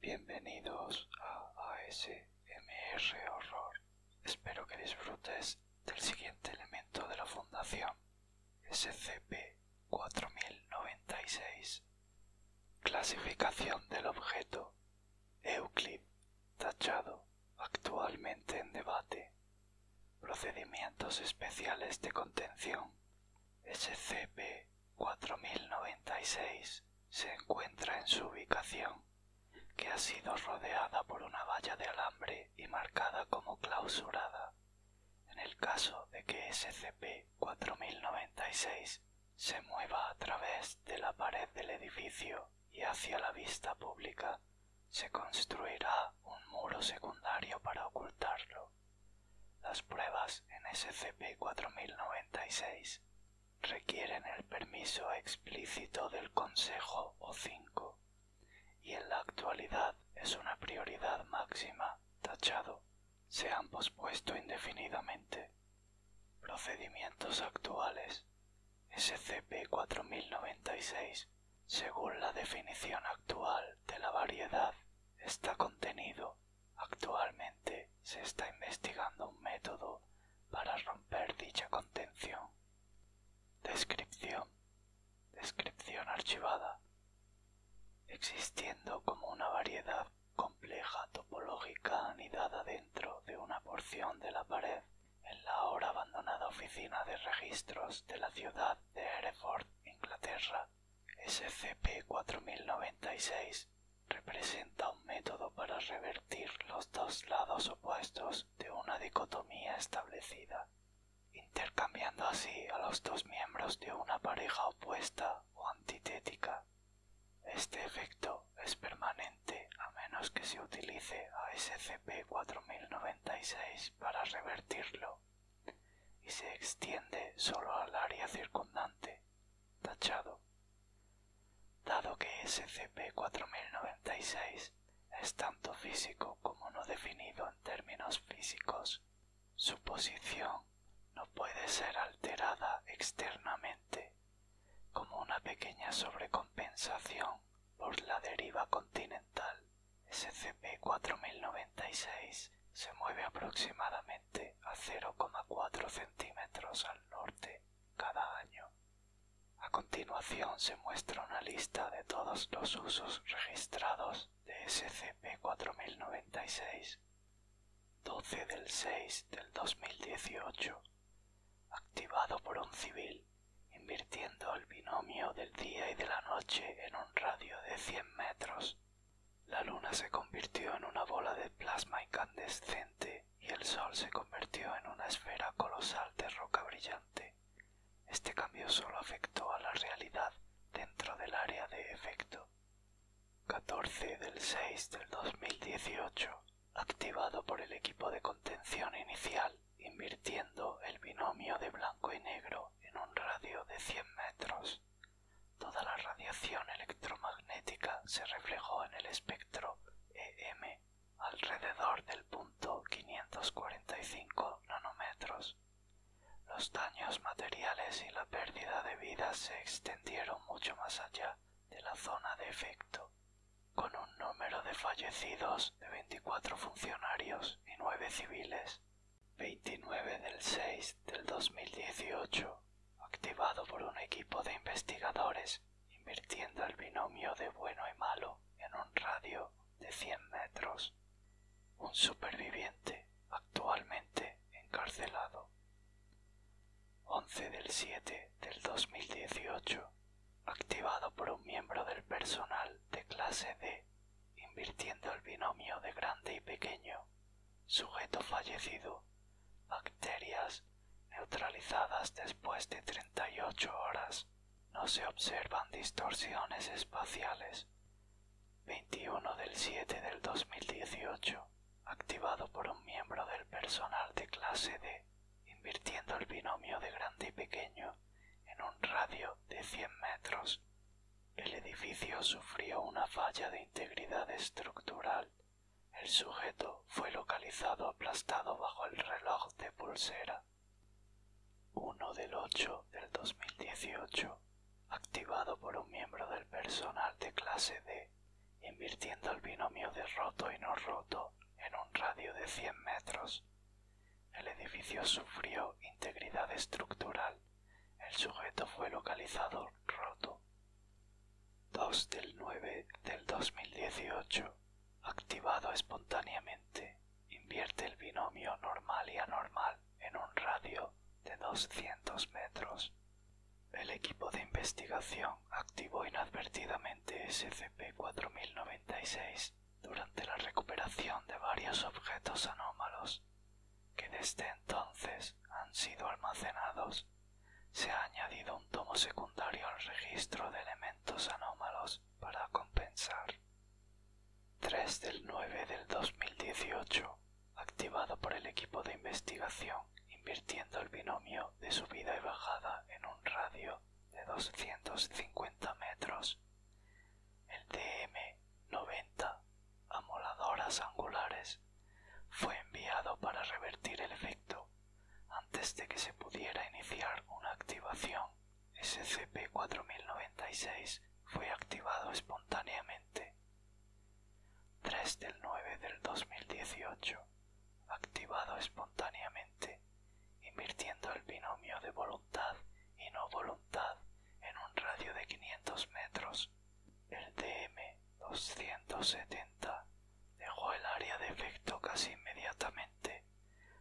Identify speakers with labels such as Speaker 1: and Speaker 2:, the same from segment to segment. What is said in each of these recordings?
Speaker 1: Bienvenidos a ASMR Horror. Espero que disfrutes del siguiente elemento de la Fundación, SCP-4096. Clasificación del objeto. Euclid, tachado actualmente en debate, Procedimientos Especiales de Contención, SCP-4096, se encuentra en su ubicación, que ha sido rodeada por una valla de alambre y marcada como clausurada. En el caso de que SCP-4096 se mueva a través de la pared del edificio y hacia la vista pública se construirá un muro secundario para ocultarlo. Las pruebas en SCP-4096 requieren el permiso explícito del Consejo O5 y en la actualidad es una prioridad máxima, tachado. Se han pospuesto indefinidamente. Procedimientos actuales. SCP-4096, según la definición actual de la variedad, está contenido. Actualmente se está investigando un método para romper dicha contención. Descripción. Descripción archivada. Existiendo como una variedad compleja topológica anidada dentro de una porción de la pared en la ahora abandonada oficina de registros de la ciudad de Hereford, Inglaterra. SCP-4096 representa un método para revertir los dos lados opuestos de una dicotomía establecida, intercambiando así a los dos miembros de una pareja opuesta o antitética. Este efecto es permanente a menos que se utilice a SCP-4096 para revertirlo y se extiende solo al área circundante, tachado. Dado que SCP-4096 es tanto físico como no definido en términos físicos, su posición no puede ser alterada externamente como una pequeña sobrecompensación por la deriva continental. SCP-4096 se mueve aproximadamente a 0,4 centímetros al norte cada año. A continuación se muestra una lista de todos los usos registrados de SCP-4096. 12 del 6 del 2018 activado por un civil, invirtiendo el binomio del día y de la noche en un radio de cien metros. La luna se convirtió en una bola de plasma incandescente y el sol se convirtió en una esfera colosal de roca brillante. Este cambio solo afectó a la realidad dentro del área de efecto. 14 del del activado por el equipo de contención inicial, invirtiendo el binomio de blanco y negro en un radio de 100 metros. Toda la radiación electromagnética se reflejó en el espectro EM alrededor del punto 545 nanómetros. Los daños materiales y la pérdida de vida se extendieron mucho más allá de la zona de efecto, con un número de fallecidos de 24 funcionarios y nueve civiles. 29 del 6 del 2018, activado por un equipo de investigadores invirtiendo el binomio de bueno y malo en un radio de 100 metros. Un superviviente actualmente encarcelado. 11 del 7 del 2018, activado por un miembro del personal de clase D, invirtiendo el binomio de grande y pequeño, sujeto fallecido, bacterias neutralizadas después de 38 horas, no se observan distorsiones espaciales. 21 del 7 del 2018 activado por un miembro del personal de clase D, invirtiendo el binomio de grande y pequeño en un radio de 100 metros. El edificio sufrió una falla de integridad estructural. El sujeto fue localizado aplastado bajo el reloj de pulsera. 1 del 8 del 2018 activado por un miembro del personal de clase D, invirtiendo el binomio de roto y no roto en un radio de 100 metros. El edificio sufrió integridad estructural. El sujeto fue localizado roto. 2 del 9 del 2018. Activado espontáneamente. Invierte el binomio normal y anormal en un radio de 200 metros. El equipo de investigación activó inadvertidamente SCP-4096 durante la recuperación de varios objetos anómalos que desde entonces han sido almacenados. Se ha añadido un tomo secundario al registro de elementos anómalos para compensar. 3 del 9 del 2018 activado por el equipo de investigación, invirtiendo el binomio de subida y bajada en un radio de 250 metros. El DM-90, amoladoras angulares, fue enviado para revertir el efecto antes de que se pudiera iniciar una activación. SCP-4096 fue activado espontáneamente. 3 del 9 del 2018, activado espontáneamente, invirtiendo el binomio de voluntad y no voluntad en un radio de quinientos metros. El DM-270 dejó el área de efecto casi inmediatamente.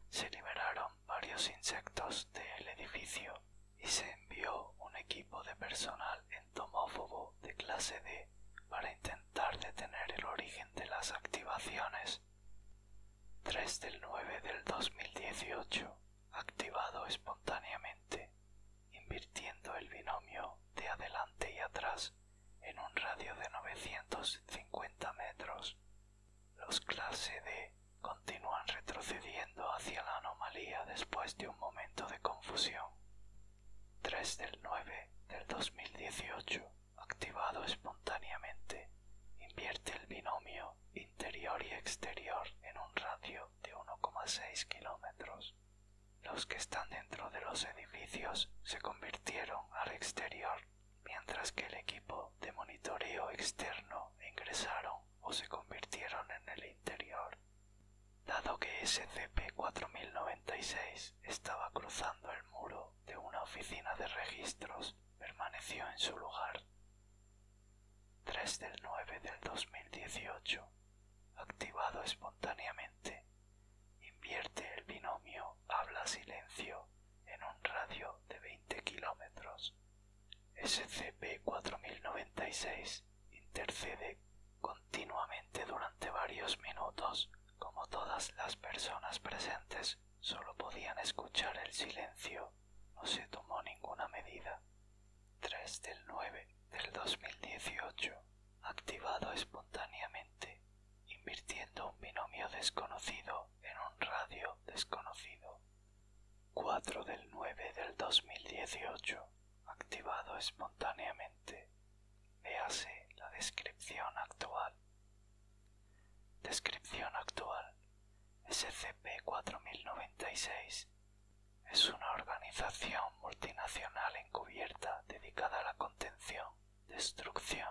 Speaker 1: Se liberaron varios insectos del edificio y se envió un equipo de personal entomófobo de clase D para intentar detener el origen de las activaciones. 3 del 9 del 2018, activado espontáneamente, invirtiendo el binomio de adelante y atrás en un radio de 950 metros. Los clase D continúan retrocediendo hacia la anomalía después de un momento de confusión. 3 del 9 del 2018, activado espontáneamente, invierte el binomio interior y exterior en un radio de 1,6 kilómetros. Los que están dentro de los edificios se convirtieron al exterior, mientras que el equipo de monitoreo externo ingresaron o se convirtieron en el interior. Dado que SCP-4096 estaba cruzando el muro de una oficina de registros, permaneció en su lugar. 3 del 9 del 2018. Activado espontáneamente. Invierte el binomio habla-silencio en un radio de 20 kilómetros. SCP-4096 intercede continuamente durante varios minutos. Como todas las personas presentes solo podían escuchar el silencio, no se tomó ninguna medida. 3 del 9 del 2018. Activado espontáneamente, invirtiendo un binomio desconocido en un radio desconocido. 4 del 9 del 2018, activado espontáneamente. Véase la descripción actual. Descripción actual. SCP-4096 es una organización multinacional encubierta dedicada a la contención, destrucción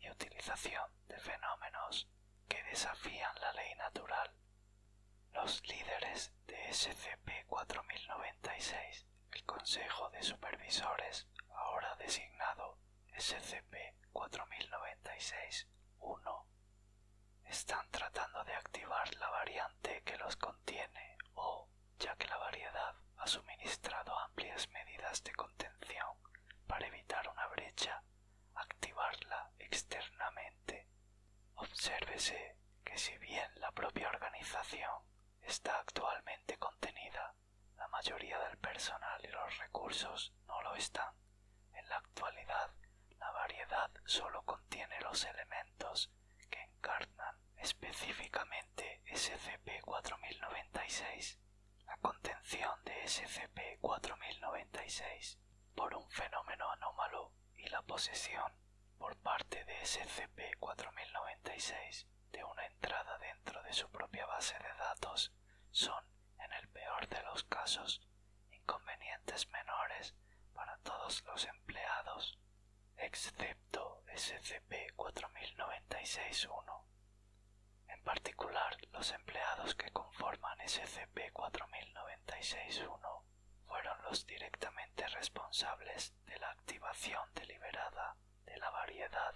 Speaker 1: y utilización de fenómenos que desafían la ley natural los líderes de SCP-4096, el Consejo de Supervisores, ahora designado SCP-4096-1, están tratando de activar la variante que los contiene o, ya que la variedad ha suministrado amplias medidas de contención para evitar una brecha activarla externamente. Obsérvese que si bien la propia organización está actualmente contenida, la mayoría del personal y los recursos no lo están. En la actualidad, la variedad solo contiene los elementos que encarnan específicamente SCP-4096 la contención de SCP-4096 por un fenómeno anómalo y la posesión por parte de SCP-4096 de una entrada dentro de su propia base de datos son, en el peor de los casos, inconvenientes menores para todos los empleados, excepto SCP-4096-1, en particular los empleados que conforman SCP-4096-1 fueron los directamente responsables de la activación deliberada de la variedad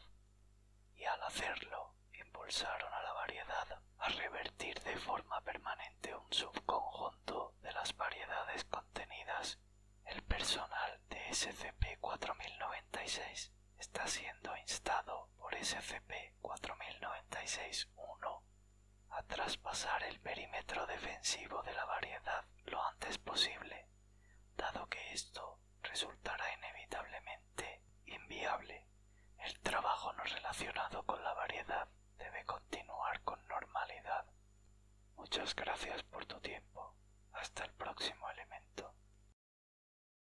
Speaker 1: y al hacerlo impulsaron a la variedad a revertir de forma permanente un subconjunto de las variedades contenidas. El personal de SCP-4096 está siendo instado por SCP-4096-1 a traspasar el perímetro defensivo de la variedad lo antes posible, dado que esto resultará inevitablemente inviable. El trabajo no relacionado con la variedad debe continuar con normalidad. Muchas gracias por tu tiempo. Hasta el próximo elemento.